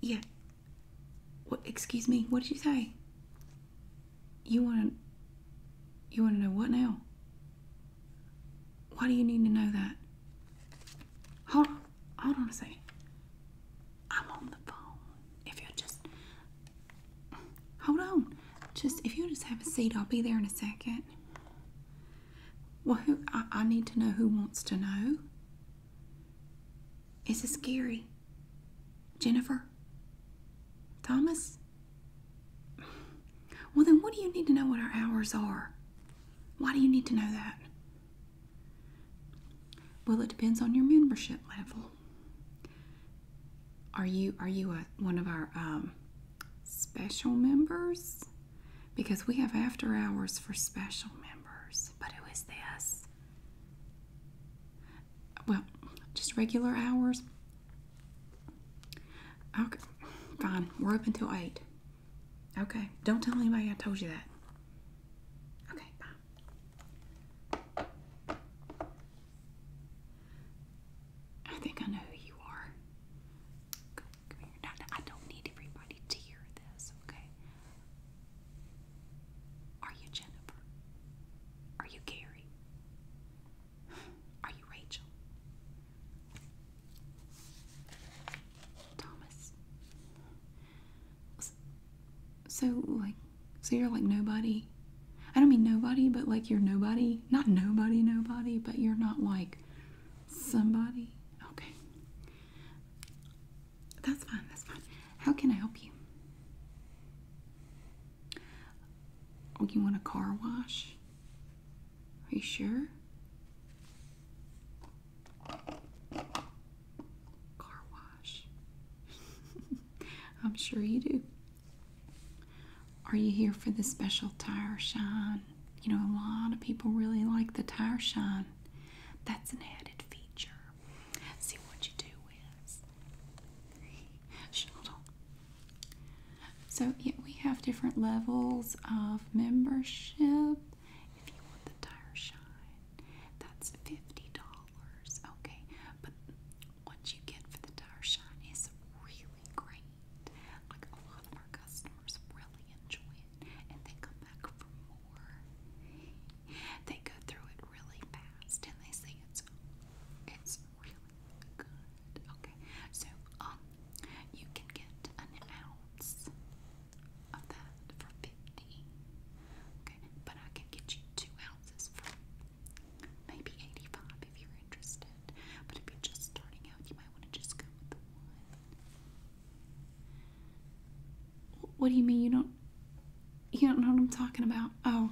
Yeah. What? Excuse me. What did you say? You want to? You want to know what now? Why do you need to know that? Hold on. Hold on a second. I'm on the phone. If you just hold on, just if you just have a seat, I'll be there in a second. Well, who I, need to know who wants to know. Is this Gary? Jennifer? Thomas? Well, then, what do you need to know what our hours are? Why do you need to know that? Well, it depends on your membership level. Are you are you a, one of our um, special members? because we have after hours for special members. But who is this? Well, just regular hours. Okay, fine. We're open till 8. Okay, don't tell anybody I told you that. Okay, bye. I think I know who you are. Come here. Now, now, I don't need everybody to hear this, okay? Are you Jennifer? Are you Gary? Are you Rachel? Thomas? So, like, so you're like nobody? I don't mean nobody, but like you're nobody. Not nobody, nobody, but you're not like somebody. Okay. That's fine, that's fine. How can I help you? Oh, you want a car wash? Are you sure? Car wash. I'm sure you do. Are you here for the special tire shine? you know, a lot of people really like the tire shine. That's an added feature. See what you do is. So, yeah, we have different levels of membership. If you want the tire shine, that's $50. Okay, but what you get for the tire shine is really great. Like a lot of our customers really enjoy it and they come back for more. They go through it really fast and they say it's it's really good. Okay. So um you can get an ounce of that for fifty. Okay, but I can get you two ounces for maybe eighty-five if you're interested. But if you're just starting out, you might want to just go with the one. What do you mean you don't you don't know what I'm talking about? Oh.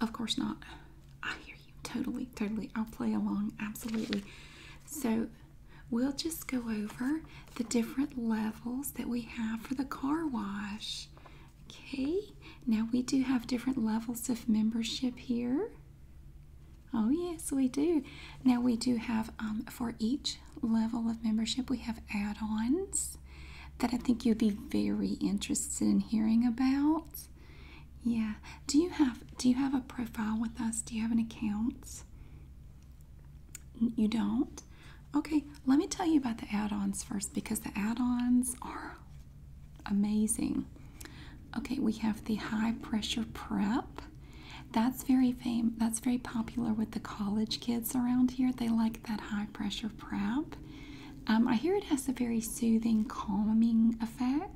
Of course not. I hear you totally, totally. I'll play along absolutely. So, we'll just go over the different levels that we have for the car wash. Okay? Now we do have different levels of membership here. Oh, yes, we do. Now, we do have um, for each level of membership, we have add ons that I think you'd be very interested in hearing about. Yeah. Do you have do you have a profile with us? Do you have an account? You don't? Okay, let me tell you about the add-ons first because the add-ons are amazing. Okay, we have the high pressure prep. That's very fam that's very popular with the college kids around here. They like that high pressure prep. Um, I hear it has a very soothing, calming effect.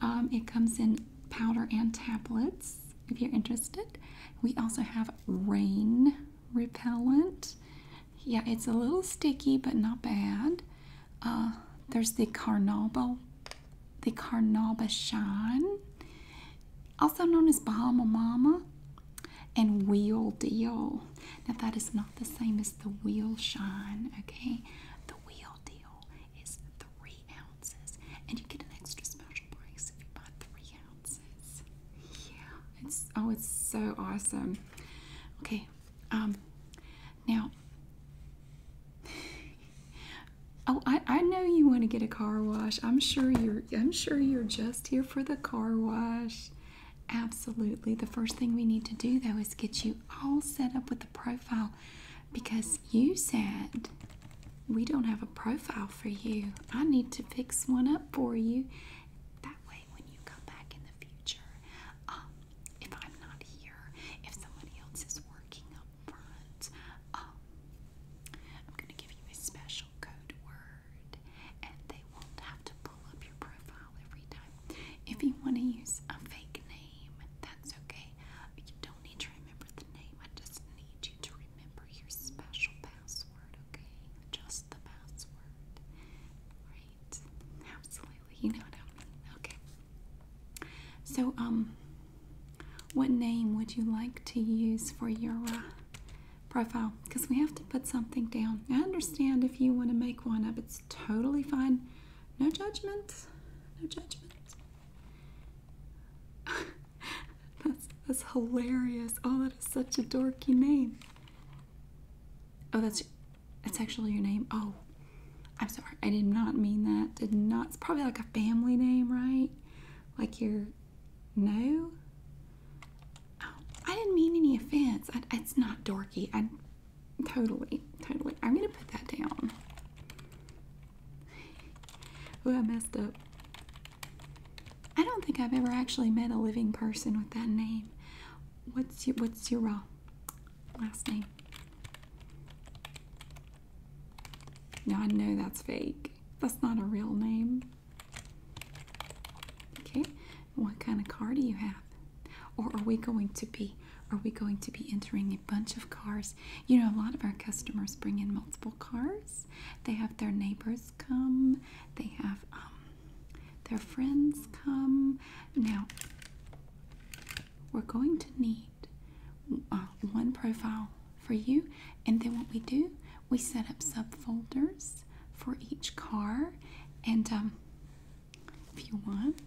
Um, it comes in powder and tablets if you're interested. We also have rain repellent. Yeah, it's a little sticky, but not bad. Uh, there's the Carnauba the Carnauba Shine, also known as Bahama Mama, and Wheel Deal. Now, that is not the same as the Wheel Shine, okay? The Wheel Deal is three ounces, and you get an extra special price if you buy three ounces. Yeah, it's oh, it's so awesome. Okay, um, now Oh, I, I know you want to get a car wash. I'm sure you're I'm sure you're just here for the car wash. Absolutely. The first thing we need to do though is get you all set up with a profile because you said we don't have a profile for you. I need to fix one up for you. That way when you come back in the future, um, if I'm not here, if somebody else is working on front. Um, I'm going to give you a special code word, and they won't have to pull up your profile every time. If you want to use a fake name, that's okay. You don't need to remember the name. I just need you to remember your special password, okay? Just the password. Right? Absolutely. You know what I mean. Okay. So, um, what name would you like to use for your uh, profile? Because we have to put something down. I understand if you want to make one up, it's totally fine. No judgment. No judgment. that's, that's hilarious. Oh, that is such a dorky name. Oh, that's that's actually your name. Oh, I'm sorry, I did not mean that. Did not. It's probably like a family name, right? Like your no. Oh, I didn't mean any offense. it's not dorky. I totally, totally. I'm gonna put that down. Oh, I messed up. I don't think I've ever actually met a living person with that name. What's your What's your uh, last name? Now I know that's fake. That's not a real name. Okay, what kind of car do you have? Or are we going to be are we going to be entering a bunch of cars? You know, a lot of our customers bring in multiple cars. They have their neighbors come. They have um, their friends come. Now, we're going to need uh, one profile for you and then what we do we set up subfolders for each car and um, if you want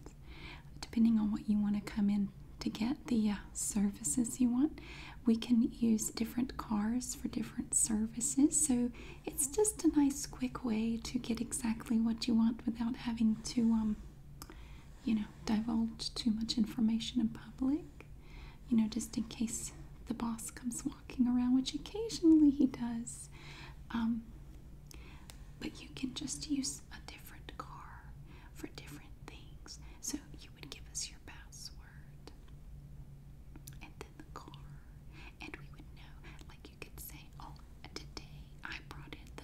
depending on what you want to come in to get the uh, services you want we can use different cars for different services so it's just a nice quick way to get exactly what you want without having to um, you know, divulge too much information in public. You know, just in case the boss comes walking around, which occasionally he does. Um, but you can just use a different car for different things. So you would give us your password and then the car, and we would know. Like you could say, Oh, today I brought in the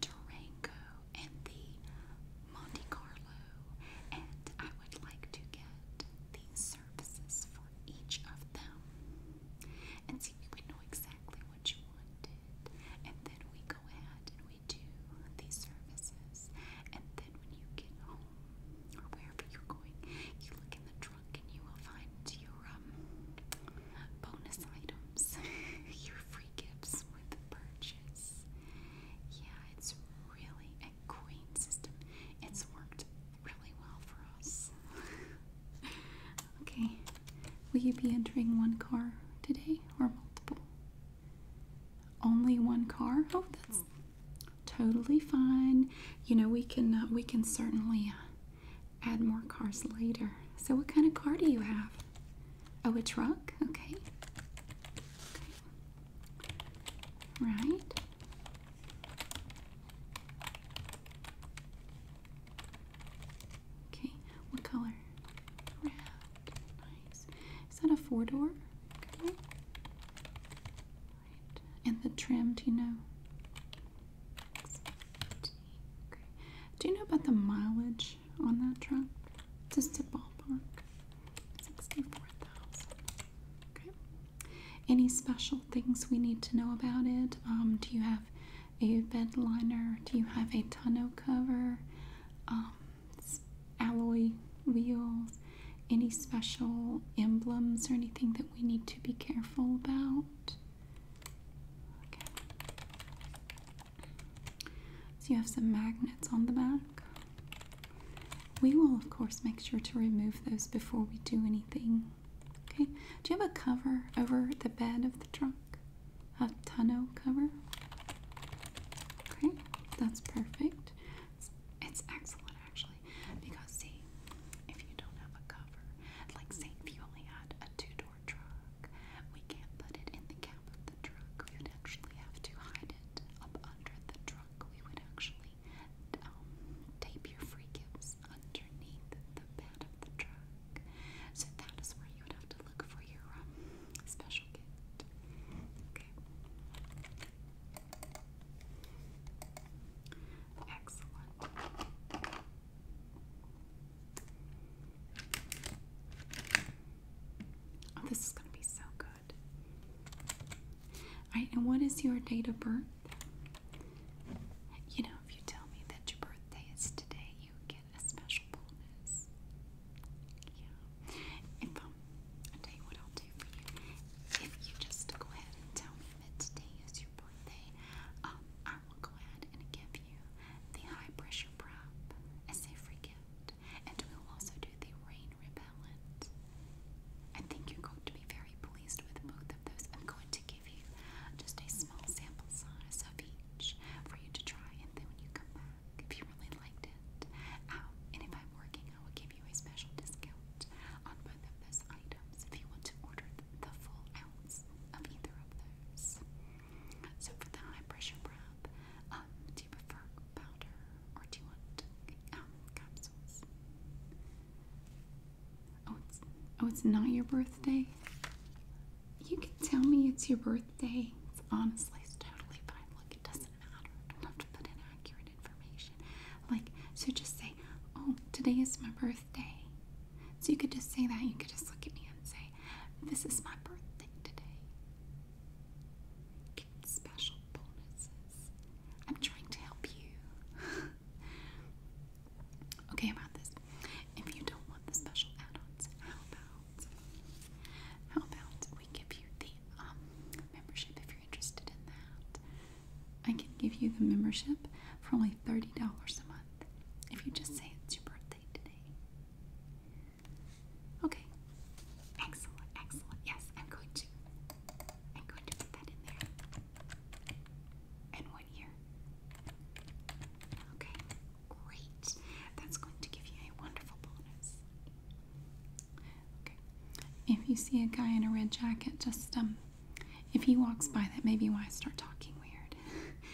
Durango and the Monte Carlo, and I would like to get these services for each of them. And so you know exactly what you wanted, and then we go ahead and we do these services, and then when you get home or wherever you're going, you look in the trunk and you will find your um, bonus items, your free gifts with the purchase. Yeah, it's really a queen system. It's worked really well for us. okay, will you be entering one car today or multiple? Only one car? Oh, that's totally fine. You know we can uh, we can certainly uh, add more cars later. So, what kind of car do you have? Oh, a truck? Okay. Right. Okay, what color? Red. Nice. Is that a four door? Okay. Right. And the trim, do you know? Do you know about the mileage? on that truck. Just to ballpark. 64000 Okay. Any special things we need to know about it? Um, do you have a bed liner? Do you have a tonneau cover? Um, alloy wheels? Any special emblems or anything that we need to be careful about? Okay. So you have some magnets on the back. We will, of course, make sure to remove those before we do anything. Okay. Do you have a cover over the bed of the trunk? A tonneau cover? Okay, that's perfect. It's, it's excellent, actually, because see, if you don't have a cover, like say if you only had a two-door truck, we can't put it in the cab of the truck, we would actually have to hide it up under the truck. We would actually um, tape your free gifts underneath the bed of the truck. So that is where you would have to look for your um, special gift. Okay. Excellent. Okay. Oh, this is going to be so good. Alright, and what is your date of birth? You know, if you tell me that your birthday is today, you get a special bonus. Yeah. If um, I'll tell you what I'll do for you. If you just go ahead and tell me that today is your birthday, um, I will go ahead and give you the high pressure prop as a free gift and we'll also do the rain repellent. I think you're going to be very pleased with both of those. I'm going to give you just a small sample size of each for you to try, and then when you come back, if you really liked it, um, and if I'm working, I will give you a special discount on both of those items if you want to order the full ounce of either of those. So for the high pressure breath, um, do you prefer powder or do you want um, capsules? Oh, it's oh, it's not your birthday. You can tell me it's your birthday. honestly it's totally fine. Look, it doesn't matter. I don't have to put in accurate information. Like, so just say, "Oh, today is my birthday." So you could just say that. You could just look at me and say, "This is my birthday today." special bonuses. I'm trying to help you. okay, about this. If you don't want the special add-ons, how about how about we give you the um, membership if you're interested in that? I can give you the membership for only thirty dollars a month if you just say it's your birthday today. Okay. Excellent, excellent. Yes, I'm going to. I'm going to put that in there. And one here. Okay, great. That's going to give you a wonderful bonus. Okay. If you see a guy in a red jacket, just um, if he walks by, that may be why I start talking weird.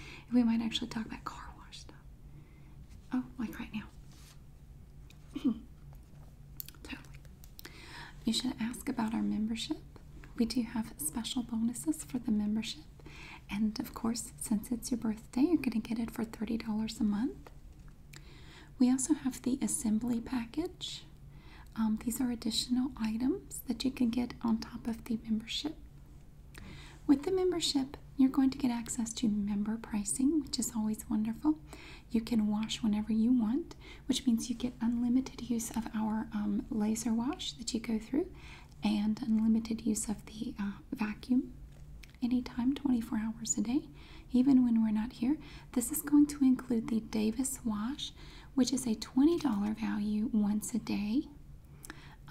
we might actually talk about car wash stuff. Oh, like right now. totally. You should ask about our membership. We do have special bonuses for the membership. And of course, since it's your birthday, you're going to get it for $30 a month. We also have the assembly package. Um, these are additional items that you can get on top of the membership. With the membership, you're going to get access to member pricing, which is always wonderful. You can wash whenever you want, which means you get unlimited use of our um, laser wash that you go through and unlimited use of the uh, vacuum anytime, 24 hours a day, even when we're not here. This is going to include the Davis wash, which is a $20 value once a day.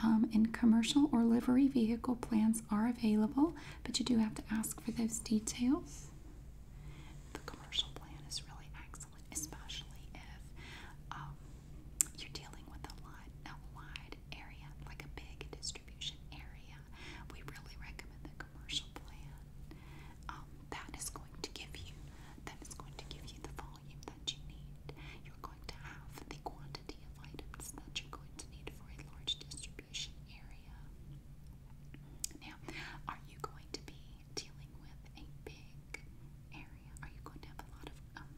Um, and commercial or livery vehicle plans are available but you do have to ask for those details. The commercial plan is really excellent, especially if um, you're dealing with a, lot, a wide area, like a big distribution area. We really recommend the commercial plan. Um, that is going to give you that is going to give you the volume that you need. You're going to have the quantity of items that you're going to need for a large distribution area. Now, are you going to be dealing with a big area? Are you going to have a lot of um,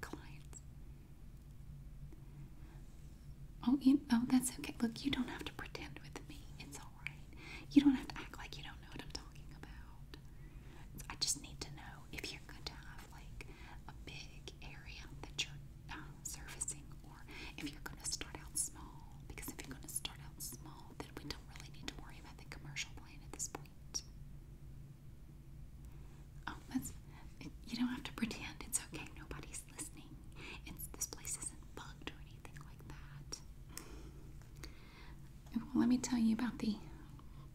clients? Oh, you, oh, that's okay. Look, you don't have to pretend with me. It's all right. You don't have to act like you don't know what I'm talking about. I just need to know if you're going to have like a big area that you're um, servicing, or if you're going to start out small, because if you're going to start out small, then we don't really need to worry about the commercial plan at this point. Oh, that's, you don't have to pretend it's okay, nobody's listening. this place isn't bugged or anything like that. Well, let me tell you about the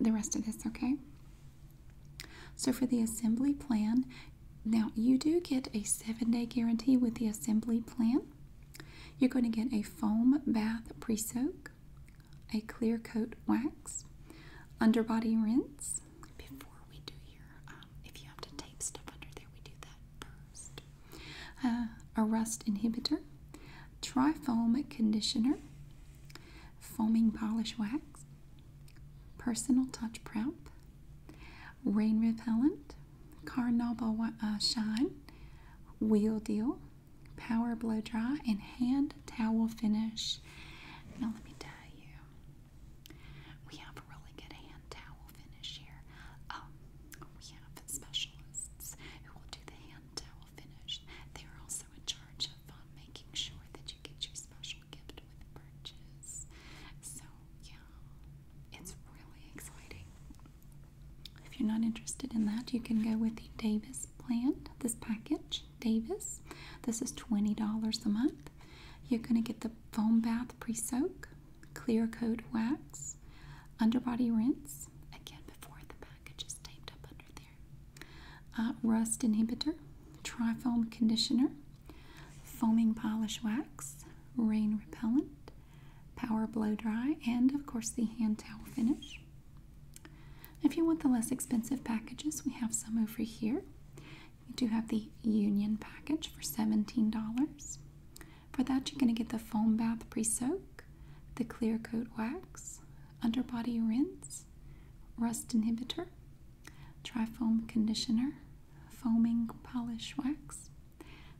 the rest of this, okay? So for the assembly plan, now you do get a seven day guarantee with the assembly plan. You're going to get a foam bath pre soak, a clear coat wax, underbody rinse. Before we do your, um, if you have to tape stuff under there, we do that first. Uh, a rust inhibitor, tri foam conditioner, foaming polish wax, personal touch prep, rain repellent, carnauba uh, shine, wheel deal, power blow dry, and hand towel finish. Now let me tell you, we have a really good hand towel finish here. Um, we have specialists who will do the hand towel finish. They are also in charge of um, making sure that get your special gift with purchase. So, yeah, it's really exciting. If you're not interested in that, you can go with the Davis plan, this package, Davis. This is $20 a month. You're going to get the foam bath pre soak, clear coat wax, underbody rinse, again before the package is taped up under there, uh, rust inhibitor, tri foam conditioner, foaming polish wax, rain repellent, power blow dry, and of course the hand towel finish. If you want the less expensive packages, we have some over here. We do have the Union package for $17. For that, you're going to get the foam bath pre soak, the clear coat wax, underbody rinse, rust inhibitor, Trifoam conditioner, foaming polish wax,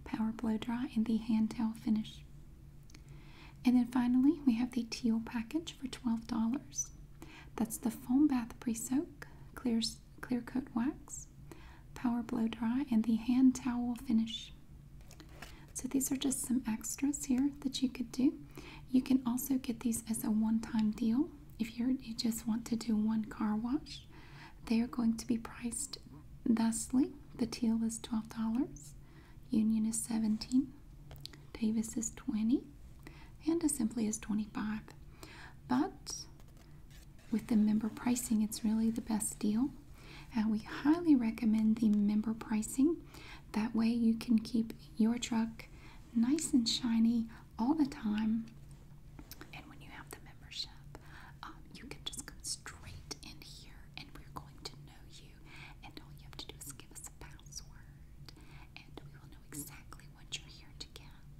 power blow dry, and the hand towel finish. And then finally, we have the teal package for $12. That's the foam bath pre soak, clear, clear coat wax, power blow dry, and the hand towel finish. So these are just some extras here that you could do. You can also get these as a one time deal if you're, you just want to do one car wash, they are going to be priced thusly. The teal is $12, Union is $17, Davis is $20, and simply as $25. But with the member pricing, it's really the best deal. And we highly recommend the member pricing. That way, you can keep your truck nice and shiny all the time. And when you have the membership, um, you can just go straight in here and we're going to know you. And all you have to do is give us a password and we will know exactly what you're here to get.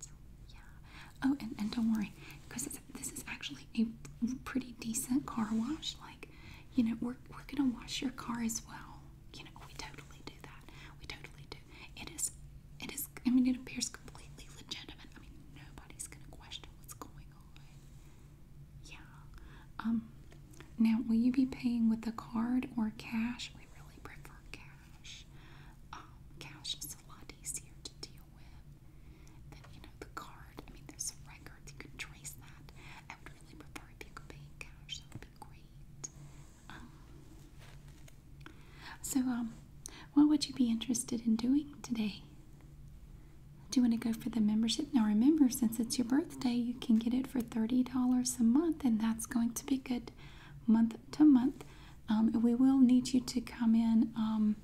Yeah. Oh, and, and don't worry, because this is actually a pretty decent car wash. Like, you know, we're, we're going to wash your car as well. You know, we totally do that. We totally do. It is, it is I mean, it appears completely legitimate. I mean, nobody's going to question what's going on. Yeah. Um, now, will you be paying with a card or cash? We really prefer cash. Um, cash is a lot easier to deal with than, you know, the card. I mean, there's a You can trace that. I would really prefer if you could pay in cash. That would be great. So, um, what would you be interested in doing today? Do you want to go for the membership? Now, remember, since it's your birthday, you can get it for $30 a month, and that's going to be good month to month. Um, we will need you to come in. Um,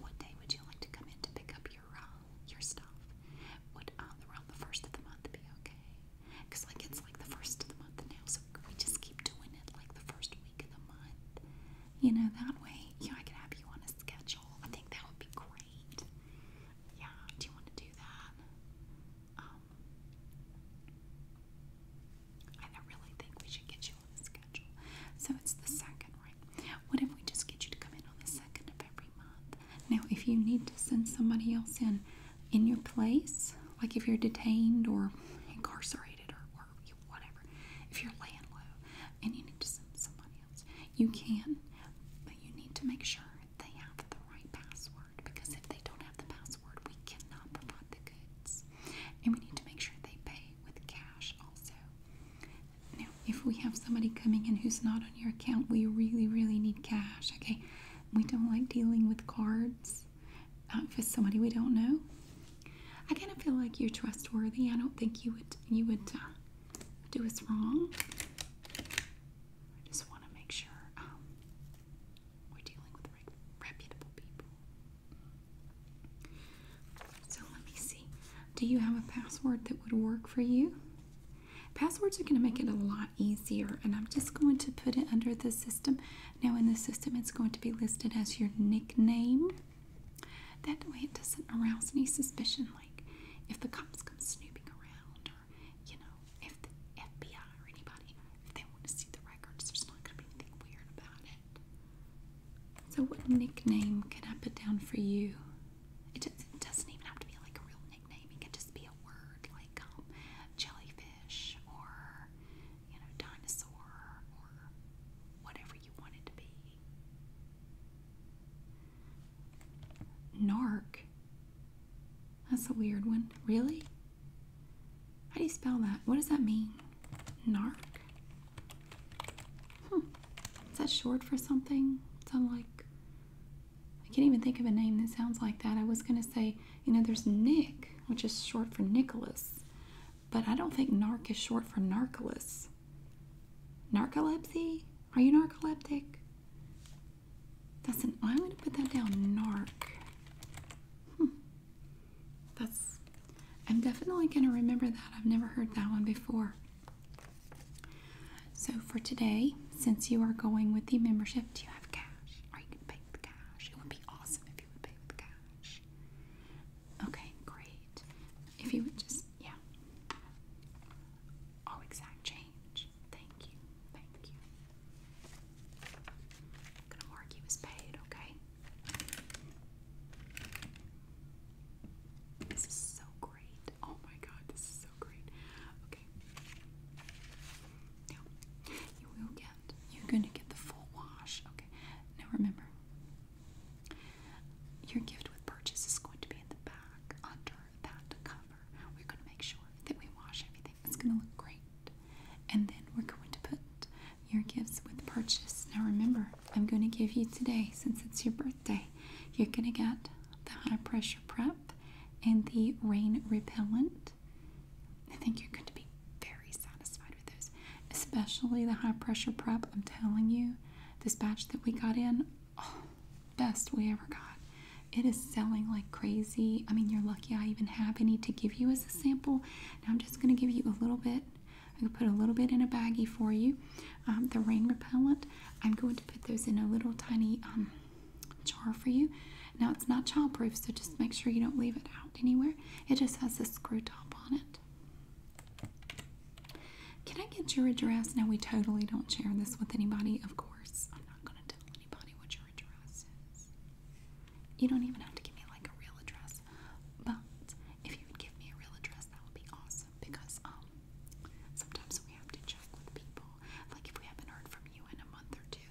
what day would you like to come in to pick up your uh, your stuff? Would uh, the first of the month be okay? Because, like, it's like the first of the month now, so we just keep doing it like the first week of the month. You know, that way, you I could have you on a schedule. I think that would be great. Yeah, do you want to do that? Um, I really think we should get you on a schedule. So it's the second, right? What if we just get you to come in on the second of every month? Now, if you need to send somebody else in, in your place, like if you're detained or incarcerated or, whatever, if you're laying low and you need to send somebody else, you can, but you need to make sure they have the right password because if they don't have the password, we cannot provide the goods. And we need to make sure they pay with cash also. Now, if we have somebody coming in who's not on your account, we really, really need cash, okay? We don't like dealing with cards for uh, somebody we don't know. I kind of feel like you're trustworthy. I don't think you would you would uh, do us wrong. I just want to make sure um, we're dealing with reputable people. So let me see. Do you have a password that would work for you? Passwords are going to make it a lot easier. And I'm just going to put it under the system. Now, in the system, it's going to be listed as your nickname. That way, it doesn't arouse any suspicion. Like if the cops come snooping around, or you know, if the FBI or anybody, if they want to see the records, there's not going to be anything weird about it. So, what nickname can I put down for you? It, doesn't even have to be like a real nickname. It can just be a word like um, jellyfish or you know, dinosaur or whatever you want to be. Narc. That's a weird one. Really? How do you spell that? What does that mean? Narc? Hmm. Is that short for something? Sounds like I can't even think of a name that sounds like that. I was gonna say you know, there's Nick, which is short for Nicholas, but I don't think narc is short for narcolus. Narcolepsy? Are you narcoleptic? That's an. I'm going to put that down. Narc. Hmm. That's. I'm definitely going to remember that. I've never heard that one before. So for today, since you are going with the membership, do you have cash? Are you going to pay cash. It would be awesome if you would pay with cash. Okay, great. If you would just, yeah. Oh, exact change. Thank you. Thank you. I'm was paid, okay? This is so great. Oh my god, this is so great. Okay. Now, you will get you're going to get the full wash. Okay, now remember, your gift with purchase is going to be in the back under that cover. We're going to make sure that we wash everything, it's going to look great. And then we're going to put your gifts with purchase. Now remember, I'm going to give you today, since it's your birthday, you're going to get the high pressure prep and the rain repellent. I think you're going to be very satisfied with those, especially the high pressure prep. I'm telling you, this batch that we got in, oh, best we ever got. It is selling like crazy. I mean, you're lucky I even have any to give you as a sample. Now I'm just going to give you a little bit. I'm going to put a little bit in a baggie for you. Um, the rain repellent, I'm going to put those in a little tiny um, jar for you. Now it's not childproof, so just make sure you don't leave it out anywhere. It just has a screw top on it. Can I get your address? Now we totally don't share this with anybody, of course. I'm not going to tell anybody what your address is. You don't even have to give me like a real address, but if you would give me a real address, that would be awesome because um, sometimes we have to check with people. Like if we haven't heard from you in a month or two,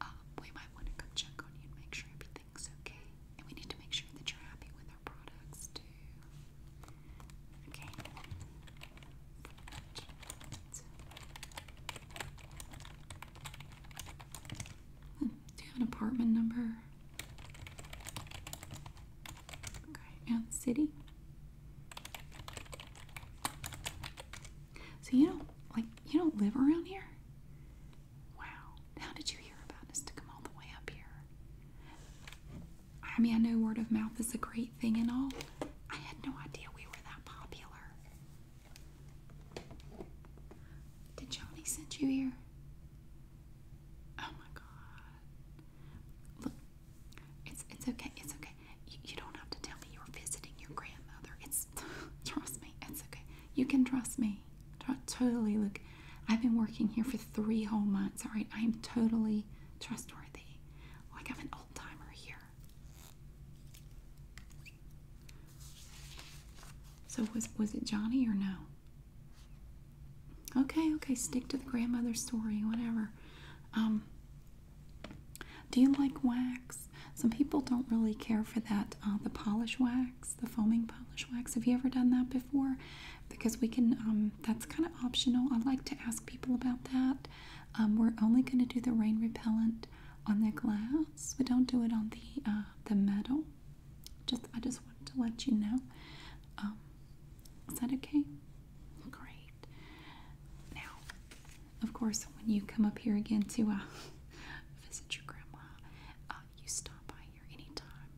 um, we might want to come check on you and make sure everything's okay. And we need to make sure that you're happy with our products too. Okay. Hmm, do you have an apartment number? Okay, and city? So you don't like you don't live around here? Wow. How did you hear about us to come all the way up here? I mean I know word of mouth is a great thing and all. I had no idea we were that popular. Did Johnny send you here? Oh my god. Look, it's it's okay, it's okay. You, you don't have to tell me you're visiting your grandmother. It's trust me, it's okay. You can trust me. Totally, look, I've been working here for three whole months, all right? I am totally trustworthy. Like I'm an old timer here. So was was it Johnny or no? Okay, okay, stick to the grandmother story, whatever. Um, do you like wax? Some people don't really care for that, uh, the polish wax, the foaming polish wax. Have you ever done that before? Because we can, um, that's kind of optional. I like to ask people about that. Um, we're only going to do the rain repellent on the glass. We don't do it on the uh, the metal. Just I just wanted to let you know. Um, is that okay? Great. Now of course, when you come up here again to uh, visit your grandma, uh, you stop by here anytime.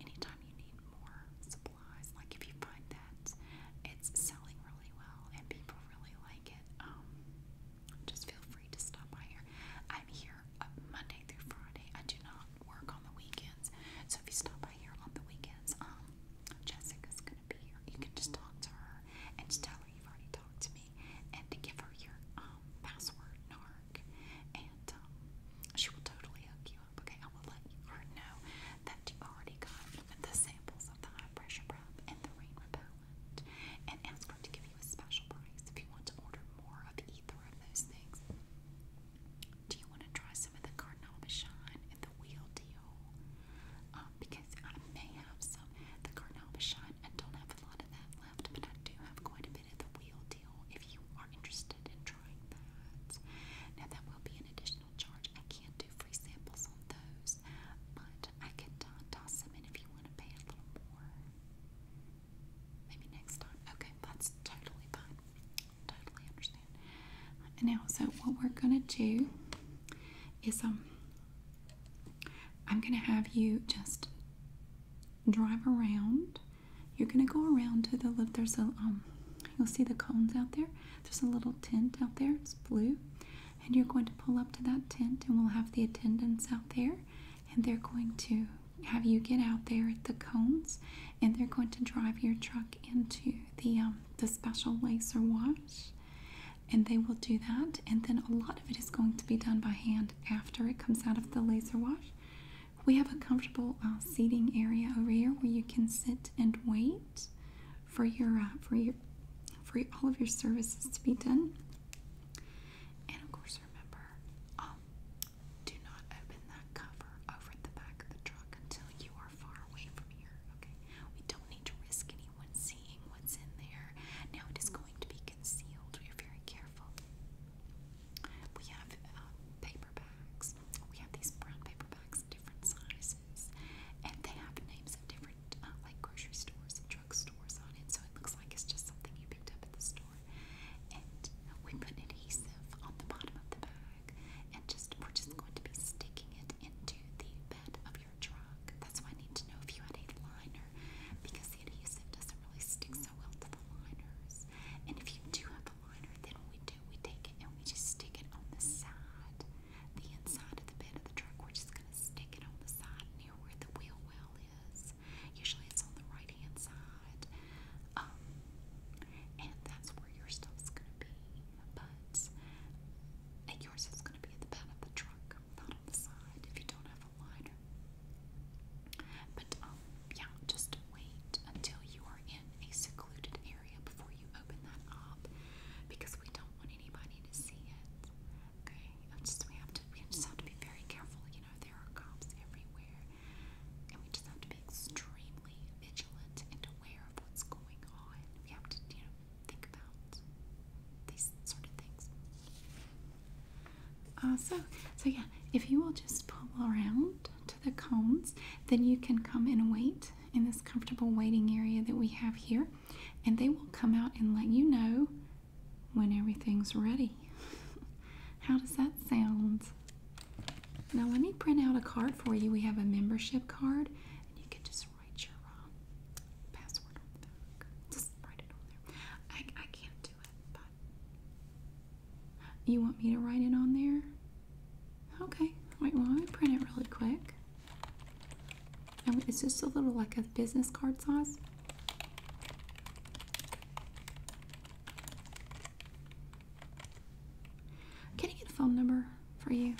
Anytime you need more supplies, like if you find that it's selling really well and people really like it, um, just feel free to stop by here. I'm here uh, Monday through Friday. I do not work on the weekends, so if you stop by here on the weekends, um, Jessica's gonna be here. You can just talk to her and just tell her you've already talked to and to give her your um, password, NARC, and um, she will totally hook you up. Okay, I will let her know that you already got the samples of the high pressure prep and the rain repellent, and ask her to give you a special price if you want to order more of either of those things. Do you want to try some of the Cardinal and the Wheel Deal? Um, because I may have some. The Cardinal Shine, don't have a lot of that left, but I do have quite a bit of the wheel deal if you are interested in trying that. Now, that will be an additional charge. I can't do free samples on those, but I can uh, toss them in if you want to pay a little more. Maybe next time. Okay, that's totally fine. Totally understand. Now, so what we're going to do is, um, I'm going to have you just drive around. You're going to go around to the left. There's a, um, you'll see the cones out there. There's a little tent out there. It's blue. And you're going to pull up to that tent, and we'll have the attendants out there. And they're going to have you get out there at the cones, and they're going to drive your truck into the, um, the special laser wash and they will do that. And then a lot of it is going to be done by hand after it comes out of the laser wash. We have a comfortable uh, seating area over here where you can sit and wait for your uh, for your for all of your services to be done. And of course, remember, um, do not open that cover over the back of the truck until you are far away from here. Okay, we don't need to risk anyone seeing what's in there. Now it is going to be concealed. We are very careful. We have uh, paper bags. We have these brown paper bags, different sizes, and they have names of different uh, like grocery stores and drug stores on it. So it looks like it's just something you picked up at the store. And we put an adhesive on the bottom of the bag, and just we're just going to be sticking it into the bed of your truck. That's why I need to know if you had a liner because the adhesive doesn't really stick so well to the liners. And if you do have a liner, then we do, we take it and we just stick it on the side, the inside of the bed of the truck. We're just going to stick it on the side near where the wheel well is. Usually it's on the right hand side. Um, and that's where your stuff's going to be. But and yours is going to be at the back of the truck, not on the side. If you don't have but um, yeah, just wait until you are in a secluded area before you open that up, because we don't want anybody to see it. Okay, just we have to we just have to be very careful. You know, there are cops everywhere, and we just have to be extremely vigilant and aware of what's going on. We have to, you know, think about these sort of things so, so yeah, if you will just pull around to the cones, then you can come and wait in this comfortable waiting area that we have here, and they will come out and let you know when everything's ready. How does that sound? Now, let me print out a card for you. We have a membership card, and you can just write your um, password on the Just write it on I, can't do it, you want me to write it on there? Okay. Wait, why don't we print it really quick. And it's just a little like a business card size. Can I get a phone number for you?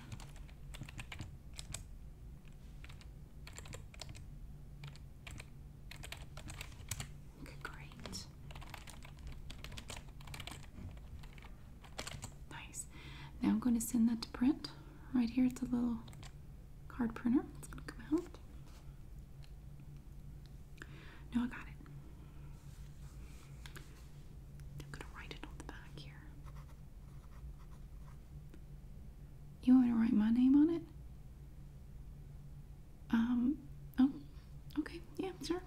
great. Nice. Now I'm going to send that to print. Right here, it's a little card printer. It's going to come out. No, I got it. I'm going to write it on the back here. You want to write my name on it? Um, oh, okay, yeah, sure.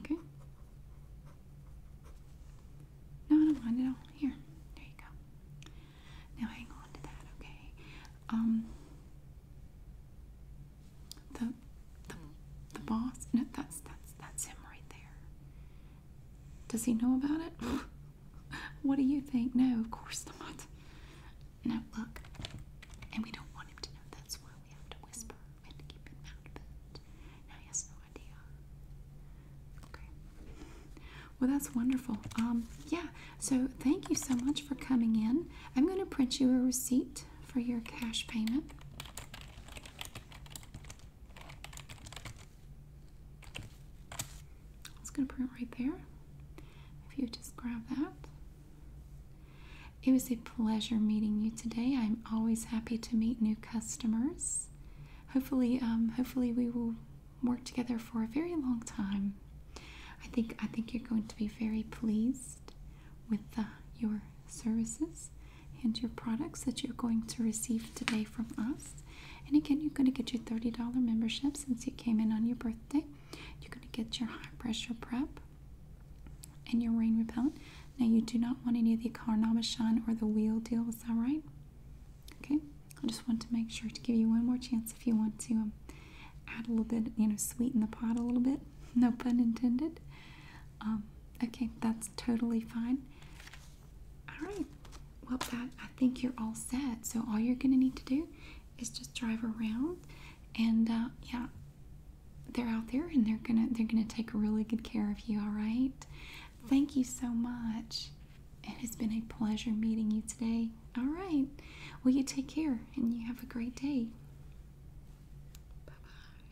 Okay. No, I don't mind at all. Here, there you go. Now hang on to that, okay? Um, the the the boss. No, that's that's that's him right there. Does he know about it? what do you think? No, of course not. Now look, and we don't want him to know. That's why we have to whisper. We have to keep him out of it. Now he has no idea. Okay. Well, that's wonderful. Um, yeah. So thank you so much for coming in. I'm going to print you a receipt for your cash payment. It's going to print right there. If you just grab that. It was a pleasure meeting you today. I'm always happy to meet new customers. Hopefully, um, hopefully we will work together for a very long time. I think I think you're going to be very pleased with uh, your services and your products that you're going to receive today from us. And again, you're going to get your $30 membership since you came in on your birthday. You're going to get your high pressure prep and your rain repellent. Now, you do not want any of the Carnama Shine or the wheel deal, is that right? Okay, I just want to make sure to give you one more chance if you want to um, add a little bit, you know, sweeten the pot a little bit. No pun intended. Um, okay, that's totally fine. All right. Well, that I think you're all set. So all you're gonna need to do is just drive around, and uh, yeah, they're out there, and they're gonna they're gonna take really good care of you. All right. Thank you so much. It has been a pleasure meeting you today. All right. Well, you take care, and you have a great day. Bye bye.